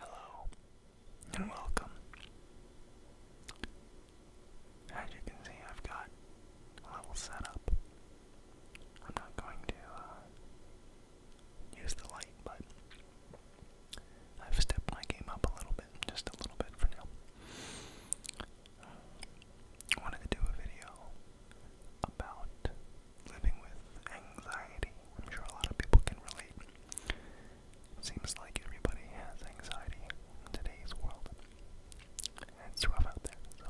Hello and welcome. As you can see, I've got a level set I'm not going to uh, use the light, but I've stepped my game up a little bit, just a little bit for now. I wanted to do a video about living with anxiety. I'm sure a lot of people can relate. It seems like everybody has anxiety in today's world. it's rough out there, so.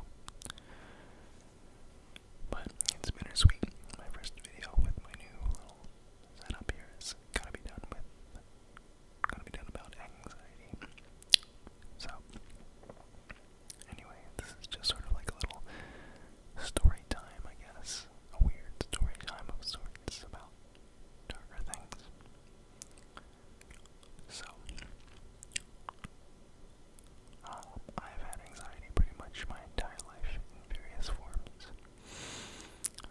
But it's bittersweet. My first video with my new little setup here is gonna be done with, gonna be done about anxiety. So, Anyway, this is just sort of like a little story time, I guess. A weird story time of sorts about darker things. So, um, I've had anxiety pretty much my entire life in various forms.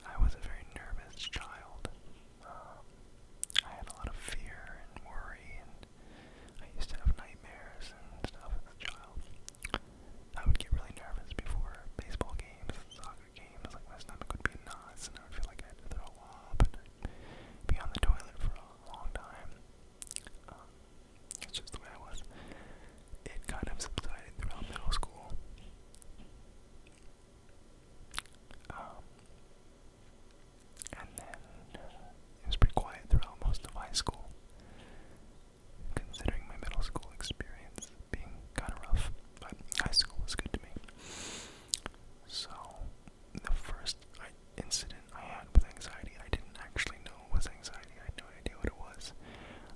I was a very nervous child. Um, I had a lot of fear and worry, and I used to have nightmares and stuff as a child. I would get really nervous before baseball games, soccer games, like my stomach would be knots and I would feel like I had throw up and be on the toilet for a long time. it's um, just the way I was. It kind of subsided throughout middle school. Um, and then it was pretty quiet throughout most of high school considering my middle school experience being kind of rough, but high school was good to me. So, the first I, incident I had with anxiety, I didn't actually know it was anxiety. I had no idea what it was.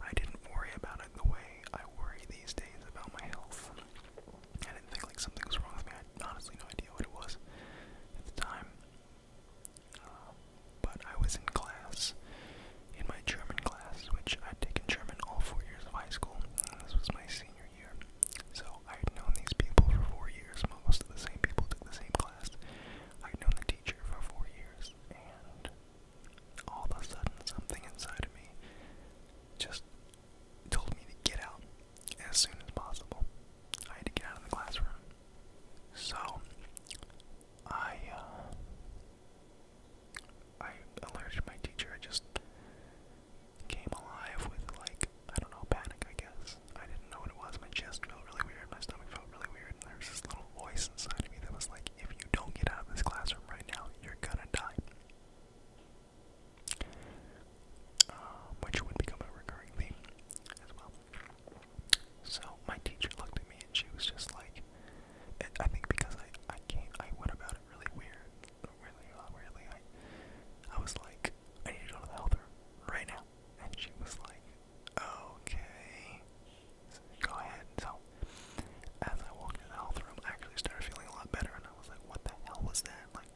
I didn't worry about it the way I worry these days about my health. I didn't think like something was wrong with me. I had honestly no idea what it was at the time. Um, but I was in class, in my German class, which I'd taken German all four years of high school. This was my senior year. So I'd known these people for four years. Most of the same people took the same class. I'd known the teacher for four years. And all of a sudden, something inside of me just told me to get out as soon as possible. I had to get out of the classroom. So, I uh, I alerted my teacher. I just came alive with like I don't know panic. I guess I didn't know what it was. My chest felt really weird. My stomach felt really weird. And there was this little voice inside of me that was like, "If you don't get out of this classroom right now, you're gonna die." Um, which would become a recurring theme as well. So my teacher looked at me and she was just like, I think because I I came I went about it really weird, really uh, weirdly. I I was like, I need to go to the health room right now, and she was like, okay, so go ahead. So as I walked in the health room, I actually started feeling a lot better, and I was like, what the hell was that? Like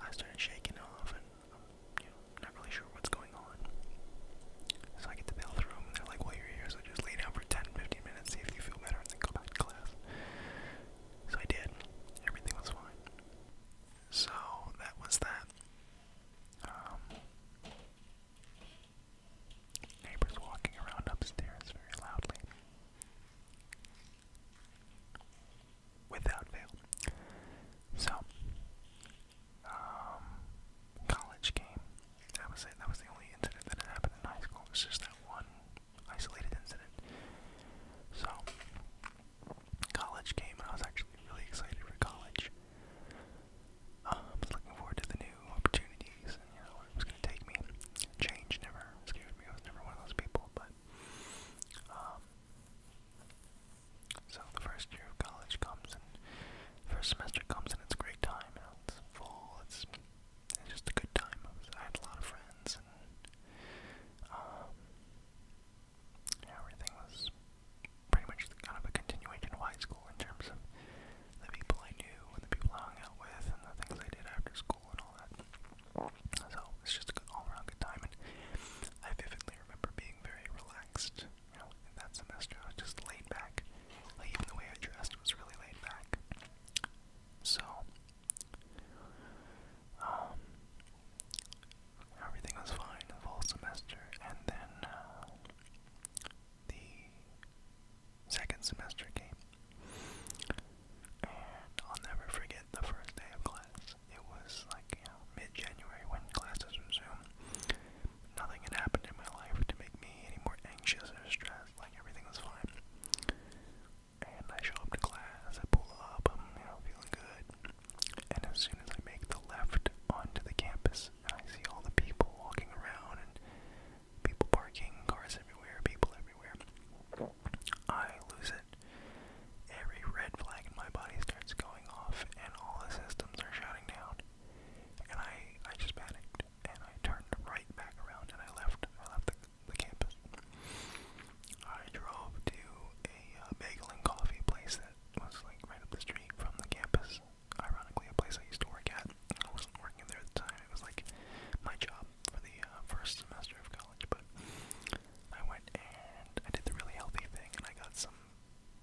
I started shaking off and not really sure what's going on. So I get to bail through and they're like, well, you're here, so just lay down for 10, 15 minutes, see if you feel better, and then go back to class. So I did. Everything was fine. So that was that. Um, neighbors walking around upstairs very loudly. Without fail. So, um, college game. That was it. That was the only incident that had happened in high school. It was just that one isolated incident. So, college came, and I was actually really excited for college. Uh, I was looking forward to the new opportunities and, you know, where it was going to take me. Change never scared me. I was never one of those people, but um, so the first year of college comes and first semester comes and it's a great time. You know, it's full. It's it's just a good time. I, was, I had a lot of friends and um, yeah, everything was pretty much kind of a continuation of high school in terms of the people I knew and the people I hung out with and the things I did after school and all that. So it's just an all-around good time, and I vividly remember being very relaxed you know, in that semester I was just laid back. Like even the way I dressed was really laid back. So um everything was fine the whole semester and then uh, the second semester came. And I'll never forget the first day of class. It was like, you know, mid January when classes resumed. Nothing had happened in my life to make me any more anxious or stressed, like everything was fine. And I show up to class, I pull up, I'm you know, feeling good. And as soon as I make the left onto the campus, and I see all the people walking around and people parking, cars everywhere, people everywhere, I lose it. Every red flag in my body starts going going off and all the systems are shutting down. And I, I just panicked and I turned right back around and I left. I left the, the campus. I drove to a uh, bagel and coffee place that was like right up the street from the campus. Ironically, a place I used to work at. I wasn't working there at the time. It was like my job for the uh, first semester of college. But I went and I did the really healthy thing and I got some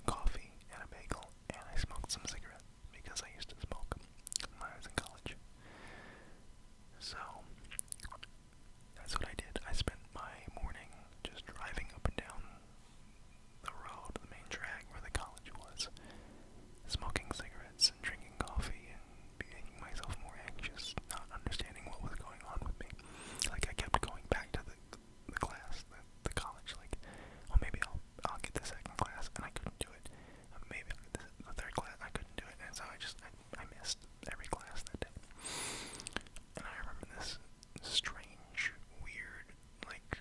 coffee and a bagel, and I smoked some cigarettes because I used to smoke when I was in college. So that's what I did. I spent my morning just driving up and down the road, the main drag where the college was, smoking cigarettes and drinking coffee and making myself more anxious, not understanding what was going on with me. Like I kept going back to the the class, the, the college, like, well, oh, maybe I'll, I'll get the second class, and I couldn't do it. Uh, maybe I'll get the, the third class, I couldn't do it, and so I just, I, I missed every class that day. And I remember this strange, weird, like,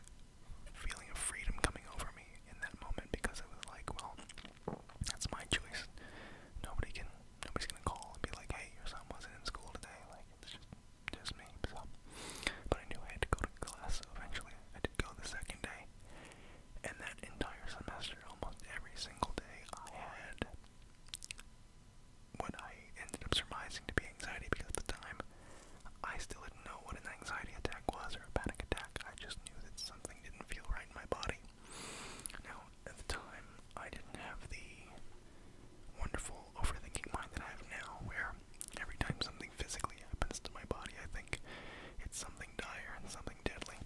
feeling of freedom coming over me in that moment, because it was like, well, that's my choice. Nobody can, nobody's gonna call and be like, hey, your son wasn't in school today, like, it's just, just me, so. But I knew I had to go to class, so eventually I did go the second day. And that entire semester, almost every single day, I had what I ended up surmising to be anxiety because at the time I still didn't know what an anxiety attack was or a panic attack. I just knew that something didn't feel right in my body. Now, at the time, I didn't have the wonderful normal overthinking mind that I have now, where every time something physically happens to my body, I think it's something dire and something deadly.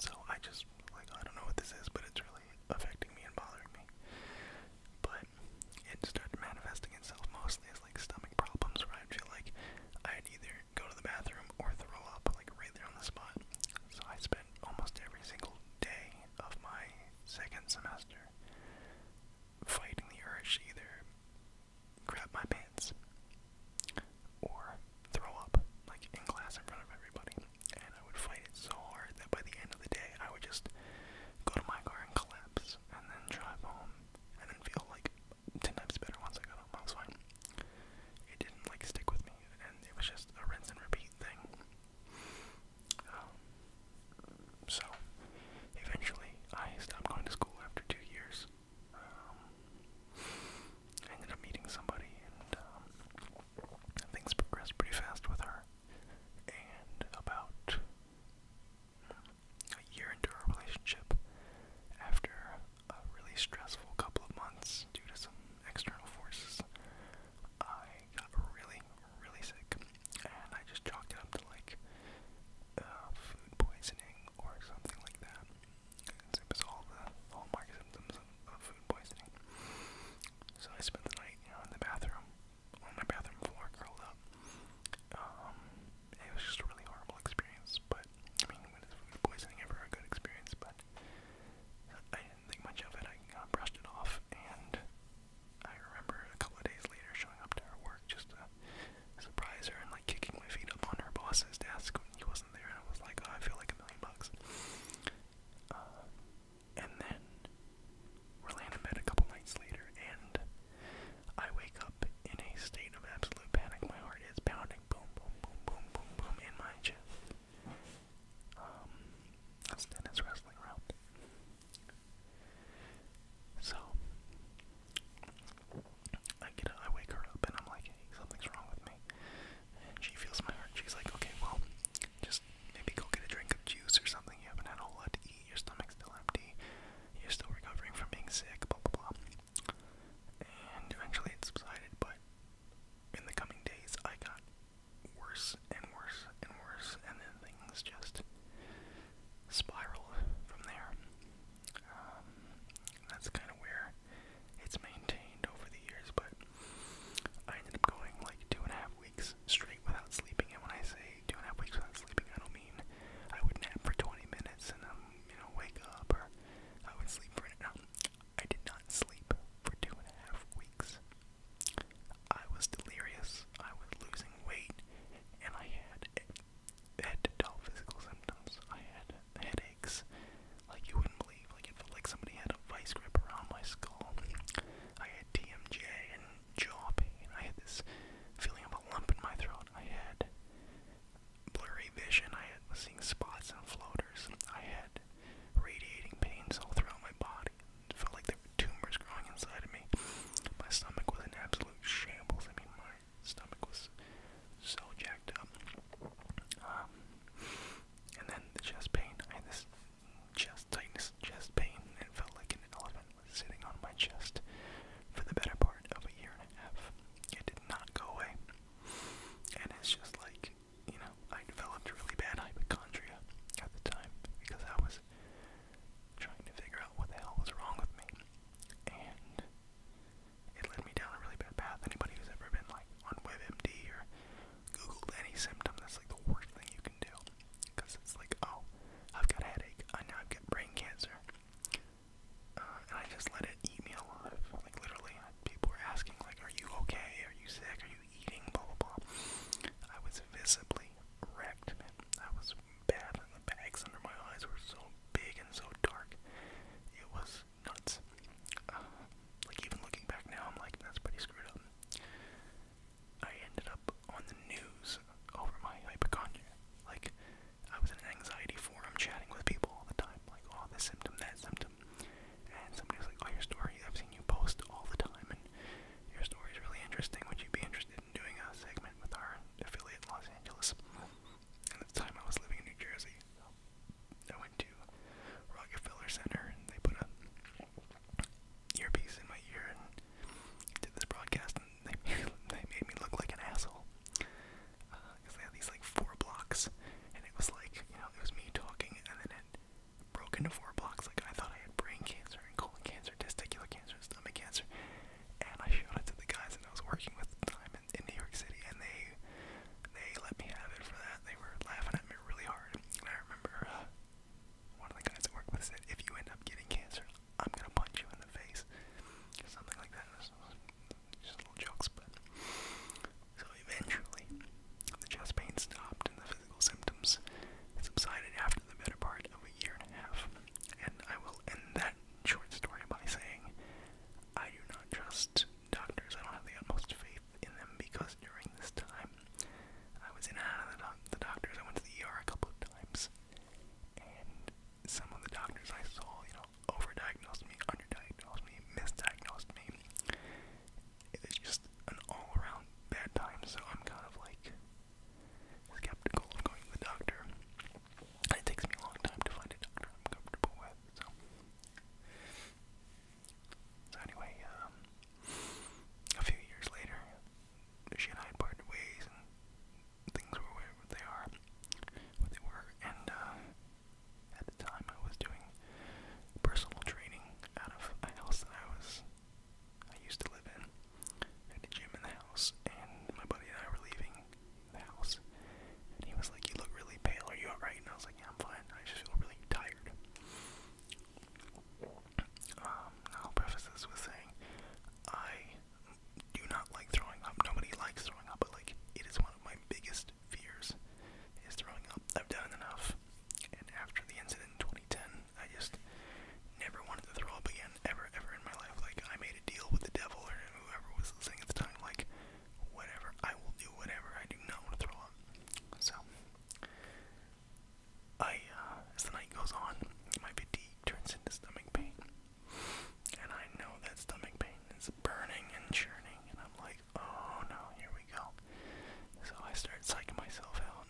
So I just, like, I don't know what this is, but it's really affecting me and bothering me. But it started manifesting itself mostly as, like, stomach problems where I'd feel like I'd either go to the bathroom or throw up, like, right there on the spot. So I spent almost every single day of my second semester fighting the urge to either grab my pants or throw up, like in class in front of everybody. And I would fight it so hard that by the end of the day, I would just go to my car and collapse, and then drive home, and then feel like ten times better once I got home. I was fine. It didn't like stick with me, and it was just a rinse and repeat thing. Um, so, eventually, I stopped going to school after two years. Um, I ended up meeting somebody, and um, things progressed pretty fast with her. And about a year into our relationship, after a really stressful couple of months due to some external forces, I got really, really sick and I just chalked it up to like uh, food poisoning or something like that. It was all the hallmark symptoms of, food poisoning. So I spent the night, you know, in the bathroom, on my bathroom floor, curled up. Um, it was just a really horrible experience, but I mean, when is food poisoning ever a good experience? But I didn't think much of it. I brushed it off, and I remember a couple of days later showing up to her work just to surprise her and like kicking my feet up on her boss's desk when he wasn't there, and I was like, oh, I feel like a million bucks. Uh, and then we're laying in bed a couple nights later, and I wake up in a state of absolute panic. My heart is pounding, boom, boom, boom, boom, boom, boom, in my chest. Um, that's Dennis wrestling round. So I get I wake her up and I'm like, something's wrong with me. And she feels my heart. She's like, okay, well, just maybe go get a drink of juice or something. You haven't had a whole lot to eat. Your stomach's still empty. You're still recovering from being sick. Blah blah blah. And eventually it subsided, but in the coming days I got worse and worse and worse, and then things just spiral from there. Um, that's kind of where it's maintained over the years, but I ended up going like two and a half weeks straight without sleeping. And when I say two and a half weeks without sleeping, I don't mean I would nap for 20 minutes and um, you know, wake up, or I would sleep for an um, hour. I did not sleep for two and a half weeks. I was delirious, I was losing weight, and I had had to toe physical symptoms. I had headaches, like you wouldn't believe. Like it felt like somebody had a vice grip around my skull. I had TMJ and jaw pain. I had this feeling of a lump in my throat. I had blurry vision. I had, was seeing spots and floaters. I had radiating pains all throughout my body body. felt like there were tumors growing inside of me. My stomach was in absolute shambles. I mean, my stomach was so jacked up. Um, and then the chest pain. and had this chest tightness, chest pain. It felt like an elephant was sitting on my chest for the better part of a year and a half. It did not go away. And it's just like, you know, I developed really bad hypochondria at the time because I was trying to figure out what the hell was wrong with me. And it led me down a really bad path. Anybody who's ever been like on WebMD or Googled any symptom, that's like the worst thing you can do. Because it's like, oh, I've got a headache. I know I've got brain cancer. Uh, and I just let it eat me alive. Like literally, people were asking, like, are you okay? Are you sick? Are you eating, blah, blah, blah. I was visibly wrecked, man. I was bad. and The bags under my eyes were so big and so dark. It was nuts. Uh, like, even looking back now, I'm like, that's pretty screwed up. I ended up on the news over my hypochondria. Like, I was in an anxiety forum chatting with people all the time. Like, oh, this symptom, that symptom. And somebody's like, oh, your story, I've seen you post all the time and your story is really interesting. Would you be interested in doing a segment with our affiliate in Los Angeles? At the time, I was living in New Jersey. I went to Rockefeller Center and they put a earpiece in my ear and did this broadcast, and they they made me look like an asshole. Because uh, they had these like four blocks, and it was like you know it was me talking, and then it broke into four blocks. Like I thought I had brain cancer and colon cancer, testicular cancer, stomach cancer, and I showed it to the guys that I was working with at the time in, in New York City, and they they let me have it for that. They were laughing at me really hard. And I remember uh, one of the guys I worked with said, "If you end up getting cancer, I'm gonna punch you in the face," or something like that. Just, just little jokes, but so eventually the chest pain stopped and the physical symptoms subsided after the better part of a year and a half. And I will end that short story by saying I do not trust doctors. I don't have the utmost faith in them because during this time I was in and out of the, doc the doctors. I went to the ER a couple of times, and some of the doctors I saw, you know, overdiagnosed me, underdiagnosed me, misdiagnosed me. It's just an all around bad time, so I'm kind of like skeptical of going to the doctor. It takes me a long time to find a doctor I'm comfortable with, so. So anyway, um, a few years later, she and I parted ways, and things were where they are, what they were, and uh, at the time I was doing personal training out of a house that I was I used to live in. had a gym in the house, and my buddy and I were leaving the house. And he was like, You look really pale, are you alright? And I was like, Yeah, I'm fine. I just feel really tired. Um, I'll preface this with saying I do not like throwing up. Nobody likes throwing up, but like it is one of my biggest fears is throwing up. I've done enough. And after the incident in 2010, I just never wanted to throw up again, ever, ever in my life. Like, I made a deal with the devil or whoever was the thing at the time, like, whatever, I will do whatever, I do not want to throw up. So, I, uh, as the night goes on, my fatigue turns into stomach pain. And I know that stomach pain is burning and churning, and I'm like, oh no, here we go. So I start psyching myself out,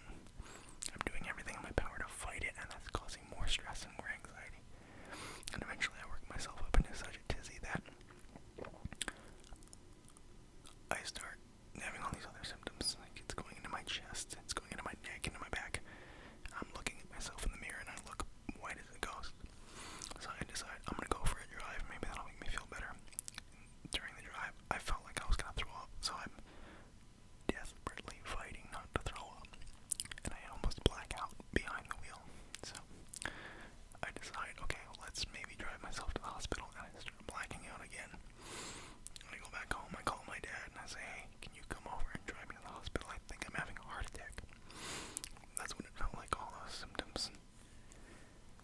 I'm doing everything in my power to fight it, and that's causing more stress and more anxiety. And eventually, I work myself up into such a tizzy that I start having all these other symptoms. Like it's going into my chest, it's going into my neck, into my back. I'm looking at myself in the mirror, and I look white as a ghost. So I decide I'm gonna go for a drive. Maybe that'll make me feel better. during the drive, I felt like I was gonna throw up, so I'm desperately fighting not to throw up, and I almost black out behind the wheel. So I decide, okay, let's maybe drive myself to the hospital, and I start blacking out again. I go back home, I call my dad, and I say, hey, can you come over and drive me to the hospital? I think I'm having a heart attack. That's when it felt like, all those symptoms.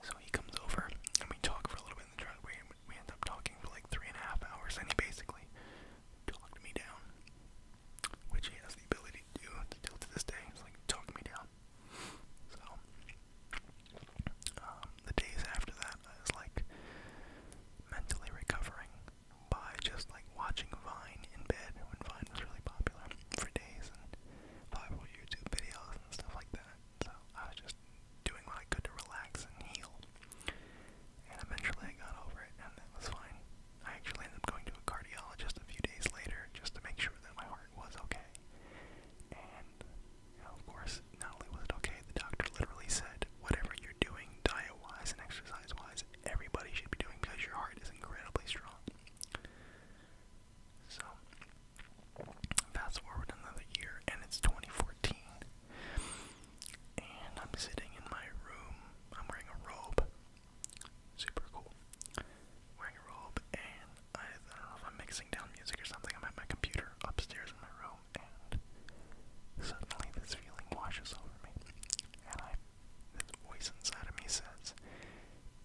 So he comes over, and we talk for a little bit in the driveway, and we ended up talking for like three and a half hours, and he basically talked me down, which he has the ability to do to this day. It's like talk me down. So um, the days after that, I was like mentally recovering by just like watching Vine in bed when Vine was really popular for days and viral YouTube videos and stuff like that so I was just doing what I could to relax and heal. And eventually I got over it, and that was fine. I actually ended up going to a cardiologist a few days later just to make sure that my heart was okay. And, of course, not only was it okay, the doctor literally said, whatever you're doing, diet-wise and exercise-wise, everybody should be doing because your heart is incredibly strong. So, fast forward another year, and it's 2014, and I'm sitting in my room. I'm wearing a robe. Super cool. Wearing a robe, and I, don't know if I'm mixing down music or something. I'm at my computer upstairs in my room, and suddenly this feeling washes over me. And this voice inside of me says,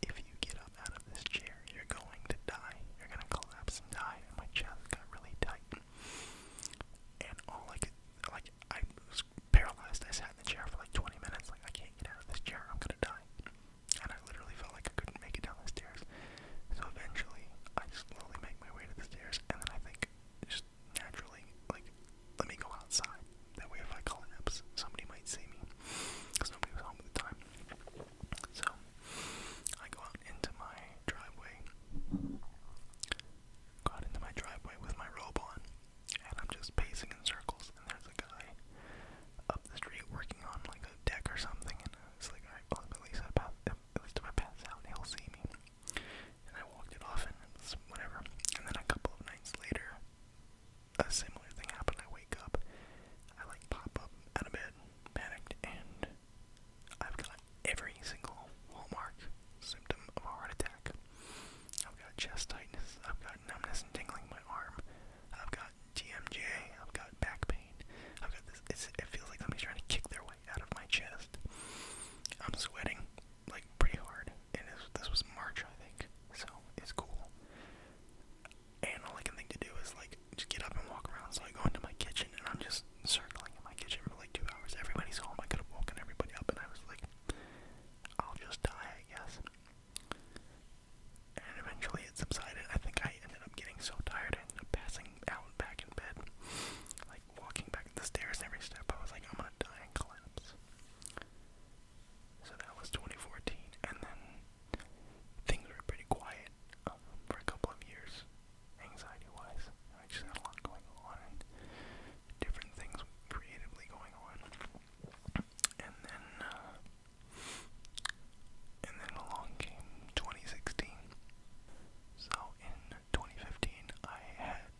if you get up out of this chair, you're going to die. You're going to collapse and die. And my chest got really tight and all I could, like, I was paralyzed. I sat in the chair for like 20 minutes, like, I can't get out of this chair, I'm gonna die. And I literally felt like I couldn't make it down the stairs. So eventually, I slowly make my way to the stairs, and then I think, just naturally, like, let me go outside. That way, if I collapse, somebody might see me, because nobody was home at the time. So I go out into my driveway. Go out into my driveway with my robe on, and I'm just pacing in circles. And there's a guy up the street working on like a deck or something, and it's like, alright, well, at least I pass, at least if I pass out, he'll see me. And I walked it off, and it's whatever. And then a couple of nights later, a similar thing happened. I wake up, I like pop up out of bed, panicked, and I've got every single hallmark symptom of a heart attack. I've got chest tightness, I've got numbness and tingling in my arm, I've got TMJ, I've got back pain, I've got this, it feels like somebody's trying to kick their way out of my chest. I'm sweating, like, pretty hard, and this was March, I think, so it's cool. And all I can think to do is, like, just get up and walk around. So I go into my kitchen and I'm just circling in my kitchen for like two hours. Everybody's home. I could have woken everybody up, and I was like, I'll just die, I guess. And eventually it subsided. I think I ended up getting so tired I ended up passing out back in bed. Like walking back the stairs every step. I was like, I'm gonna die and collapse. So that was 2014. And then things were pretty quiet um, for a couple of years anxiety-wise. I just had a lot going on and different things creatively going on. And then, uh, and then along came 2016. So in 2015, I had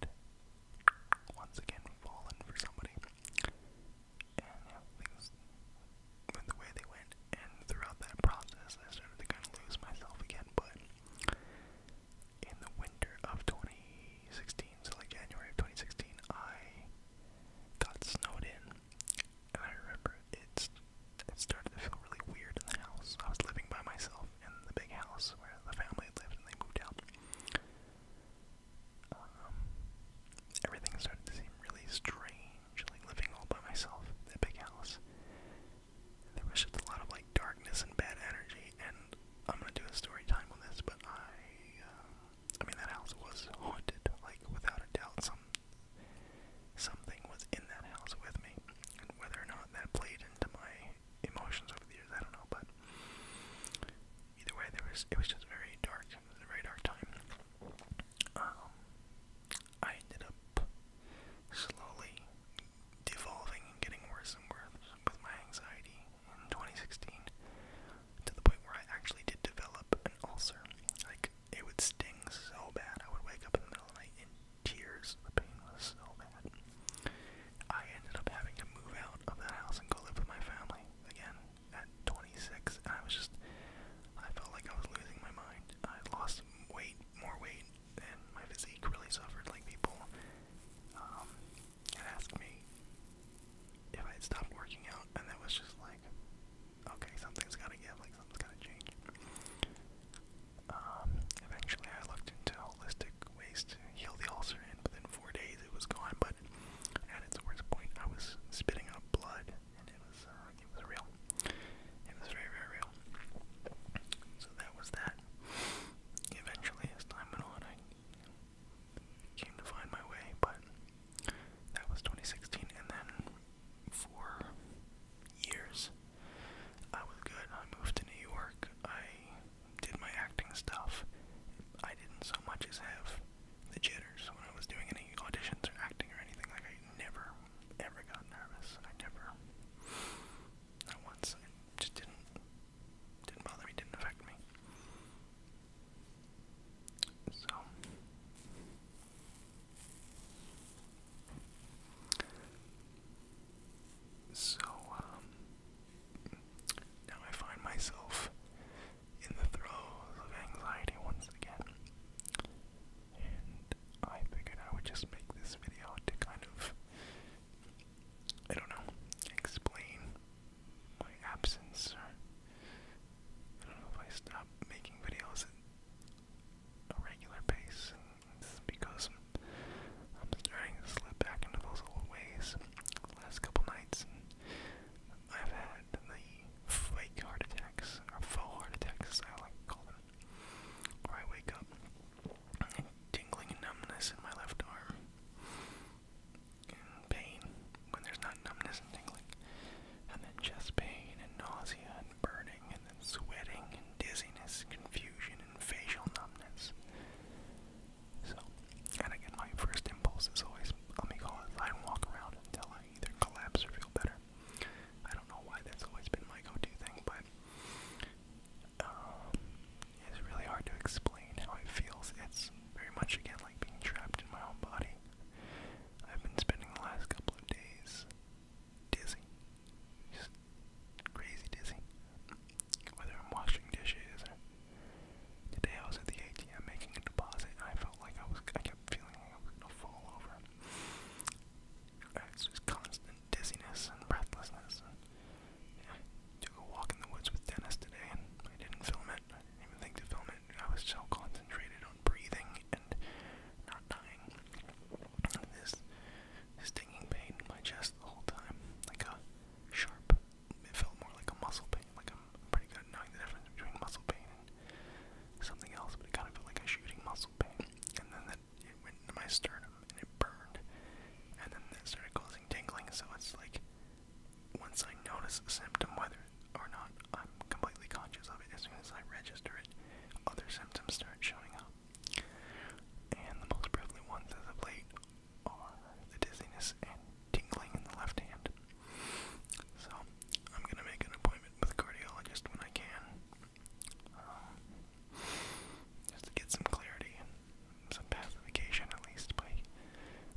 once again fallen for somebody. And yeah, things went the way they went and throughout that process, I started to kind of lose myself again. But in the winter of 2016, so like January of 2016, I got snowed in, and I remember it's it started to feel really weird in the house. I was living by myself in the big house where the family lived, and they moved out. Um, everything started to seem really strange, like living all by myself in the big house there was just a lot of like darkness and bad energy, and I'm gonna do a story time on this, but I, uh, I mean that house was haunted, like without a doubt. Some something was in that house with me, and whether or not that played into my emotions over the years, I don't know. But either way, there was it was just very dark. It was a very dark time. Um, I ended up slowly devolving and getting worse and worse with my anxiety in 2016 to the point where I actually did develop an ulcer. Like, it would sting so bad. I would wake up in the middle of the night in tears. The pain was so bad. I ended up having to move out of the house and go live with my family again at 26. And I was just, I felt like I was losing my mind. I lost weight, more weight and my physique really suffered. Like people um, had asked me if I had stopped working out, and that was just like, okay, something's got to give. Like something's got to change. Um, eventually, I looked into holistic ways to heal the ulcer, and within four days, it was gone. But at its worst point, I was spitting up blood, and it was uh, it was real. It was very, very real. So that was that. Eventually, as time went on, I came to find my way, but that was 2016, and then for years, I was good. I moved to New York. I did my acting stuff. I didn't so much as have the jitters when I was doing any auditions or acting or anything. Like I never ever got nervous. I never. I once. just didn't. Didn't bother me. Didn't affect me. So. So, um, now I find myself in the throes of anxiety once again. I figured I would just make this video to kind of, I don't know, explain my absence, or I don't know if I stopped making videos at a regular pace, because I'm starting to slip back into those old ways last couple nights, I've had the fake heart attacks, or faux heart attacks, as I like to call them or I wake up tingling numbness in my left arm and pain when there's not numbness and tingling and then chest pain and nausea and burning and then sweating and dizziness confusion and facial numbness so and again my first impulse is always let me go outside and walk around until I either collapse or feel better I don't know why that's always been my go-to thing, but um, it's really hard to explain how it feels. It's very much again like being trapped in my own body. I've been spending the last couple of days dizzy, just crazy dizzy. Whether I'm washing dishes or today I was at the ATM making a deposit, and I felt like I was I kept feeling like I was gonna fall over. It's just constant dizziness and breathlessness. And, yeah, took a walk in the woods with Dennis today, and I didn't film it. I didn't even think to film it. I was so concentrated on breathing and not dying. this stinging pain in my chest the whole time, like a sharp. It felt more like a muscle pain. Like I'm pretty good at knowing the difference between muscle pain and something else, but it kind of felt like a shooting muscle pain. And then the it went into my sternum and it burned, and then it started causing tingling. So it's like once I notice a symptom, whether or not I'm completely conscious of it, as soon as I register it, other symptoms start showing up. And the most prevalent ones as of late are the dizziness and tingling in the left hand. So I'm gonna make an appointment with a cardiologist when I can. Um, just to get some clarity and some pacification, at least, by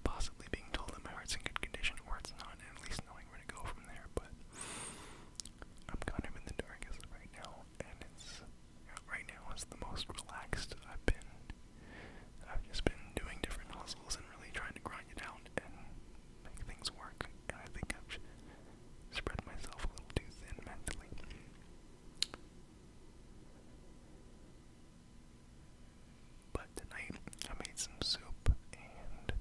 possibly being told that my heart's in good condition or it's not, and at least knowing where to go from there. But I'm kind of in the dark as of right now, and it's right now is the most relaxed I've been. I've just been doing different hustles and really trying to grind it out and make things work. And I think I've spread myself a little too thin mentally. But tonight I made some soup and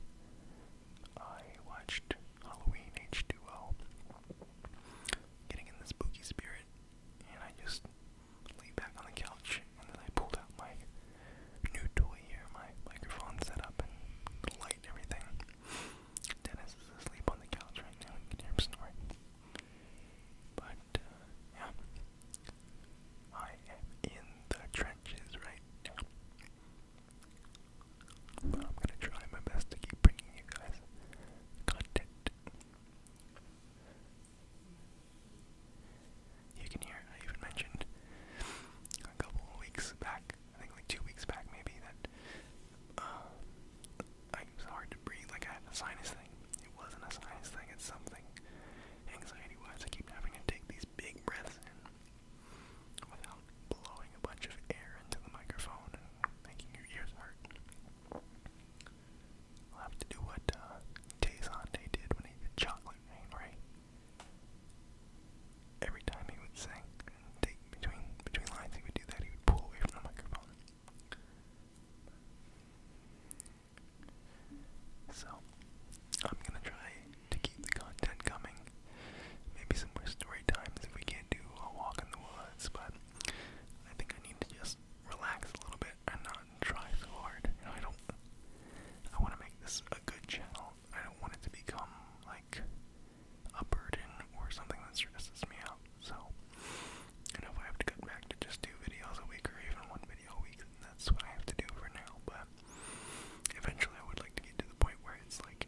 I watched Halloween H2O. Getting in the spooky spirit, and I just lay back on the couch and then I pulled out my new toy here, my microphone setup and the light and everything. Dennis is asleep on the couch right now. You can hear him snoring. But, uh, yeah. I am in the trenches right now. I'm gonna try my best to keep bringing you guys content. You can hear, I even mentioned a couple weeks back I think like two weeks back maybe that uh, I was hard to breathe. Like I had a sinus thing. It wasn't a sinus thing. It's something anxiety-wise. I keep having to take these big breaths in without blowing a bunch of air into the microphone and making your ears hurt. I'll have to do what uh, did when he did chocolate rain, right? every time he would sing, take between between lines he would do that, he would pull away from the microphone. So I'm gonna try to keep the content coming. Maybe some more story times if we can't do a walk in the woods, but I think I need to just relax a little bit and not try so hard. I don't I wanna make this a good channel I don't want it to become like a burden or something that stresses me out. So and if I have to cut back to just do videos a week or even one video a week, that's what I have to do for now. But eventually I would like to get to the point where it's like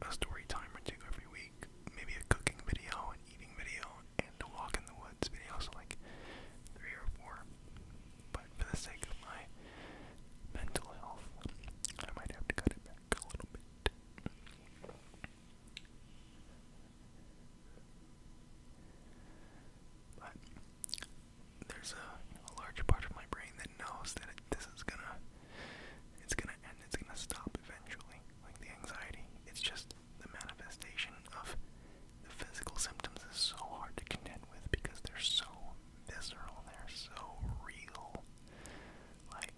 a story time or two every week, maybe a cooking video, an eating video, and a walk in the woods video, so like three or four. But for the sake of my mental health, I might have to cut it back. But there's a, large part of my brain that knows that this is gonna, it's gonna end, it's gonna stop eventually. Like the anxiety, it's just the manifestation of the physical symptoms is so hard to contend with because they're so visceral, they're so real. Like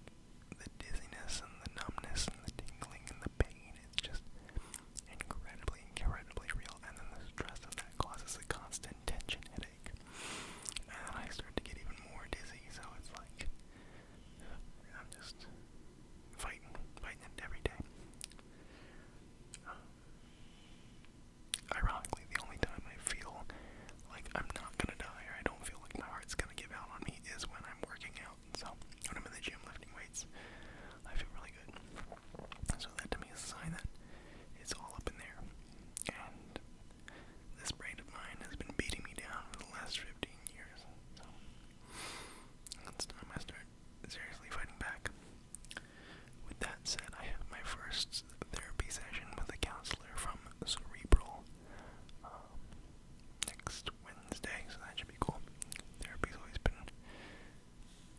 the dizziness and the numbness and the tingling and the pain, it's just incredibly, incredibly real. And then the stress of that causes a constant tension headache. And then I start to get even more dizzy, so it's like I'm just fighting, fighting it every day. Uh, ironically, the only time I feel like I'm not gonna die or I don't feel like my heart's gonna give out on me is when I'm working out. So when I'm in the gym lifting weights, I feel really good. So that to me is a sign that it's all up in there. And this brain of mine has been beating me down for the last 15 years. So it's time I start seriously fighting back. With that said, I have my first therapy session with a counselor from Cerebral um, next Wednesday, so that should be cool. Therapy's always been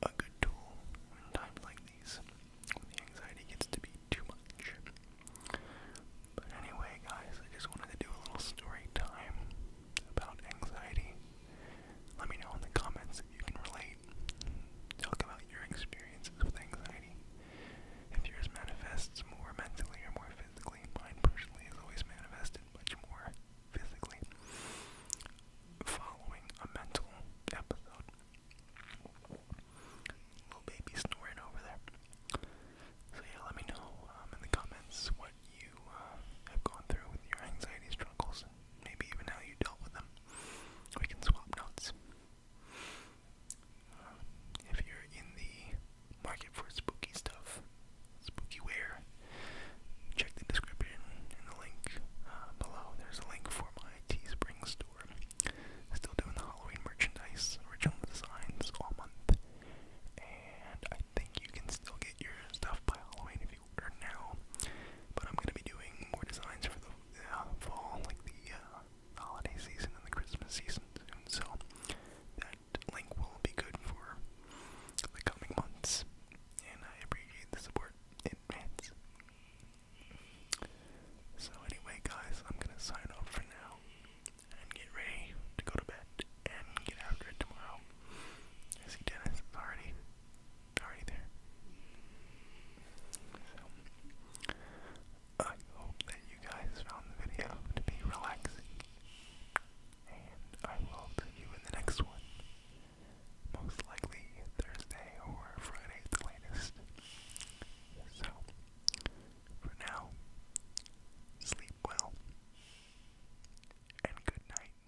a good tool in times like these, when the anxiety gets to be too much. But anyway, guys, I just wanted to do a little story time about anxiety. Let me know in the comments if you can relate. Talk about your experiences with anxiety. If yours manifests more mentally or more physically, mine personally is always manifested much more physically following a mental episode. Little baby snoring over there. So yeah, let me know um, in the comments what you uh, have gone through with your anxiety struggles and maybe even how you dealt with them. We can swap notes. Uh, if you're in the market for spooky stuff, spooky check the description and the link uh, below. There's a link for my Teespring store. still doing the Halloween merchandise, original designs all month, and I think you can still get your stuff by Halloween if you order now. But I'm gonna be doing more designs for the uh, fall, like the uh, holiday season and the Christmas season soon, so that link will be good for the coming months, and I appreciate the support in advance. So anyway, guys, I'm gonna sign off for now and get ready to go to bed and get after it tomorrow. see Dennis already already there. So I hope that you guys found the video to be relaxing. And I will see you in the next one. Most likely Thursday or Friday at the latest. So, for now, sleep well. And good night.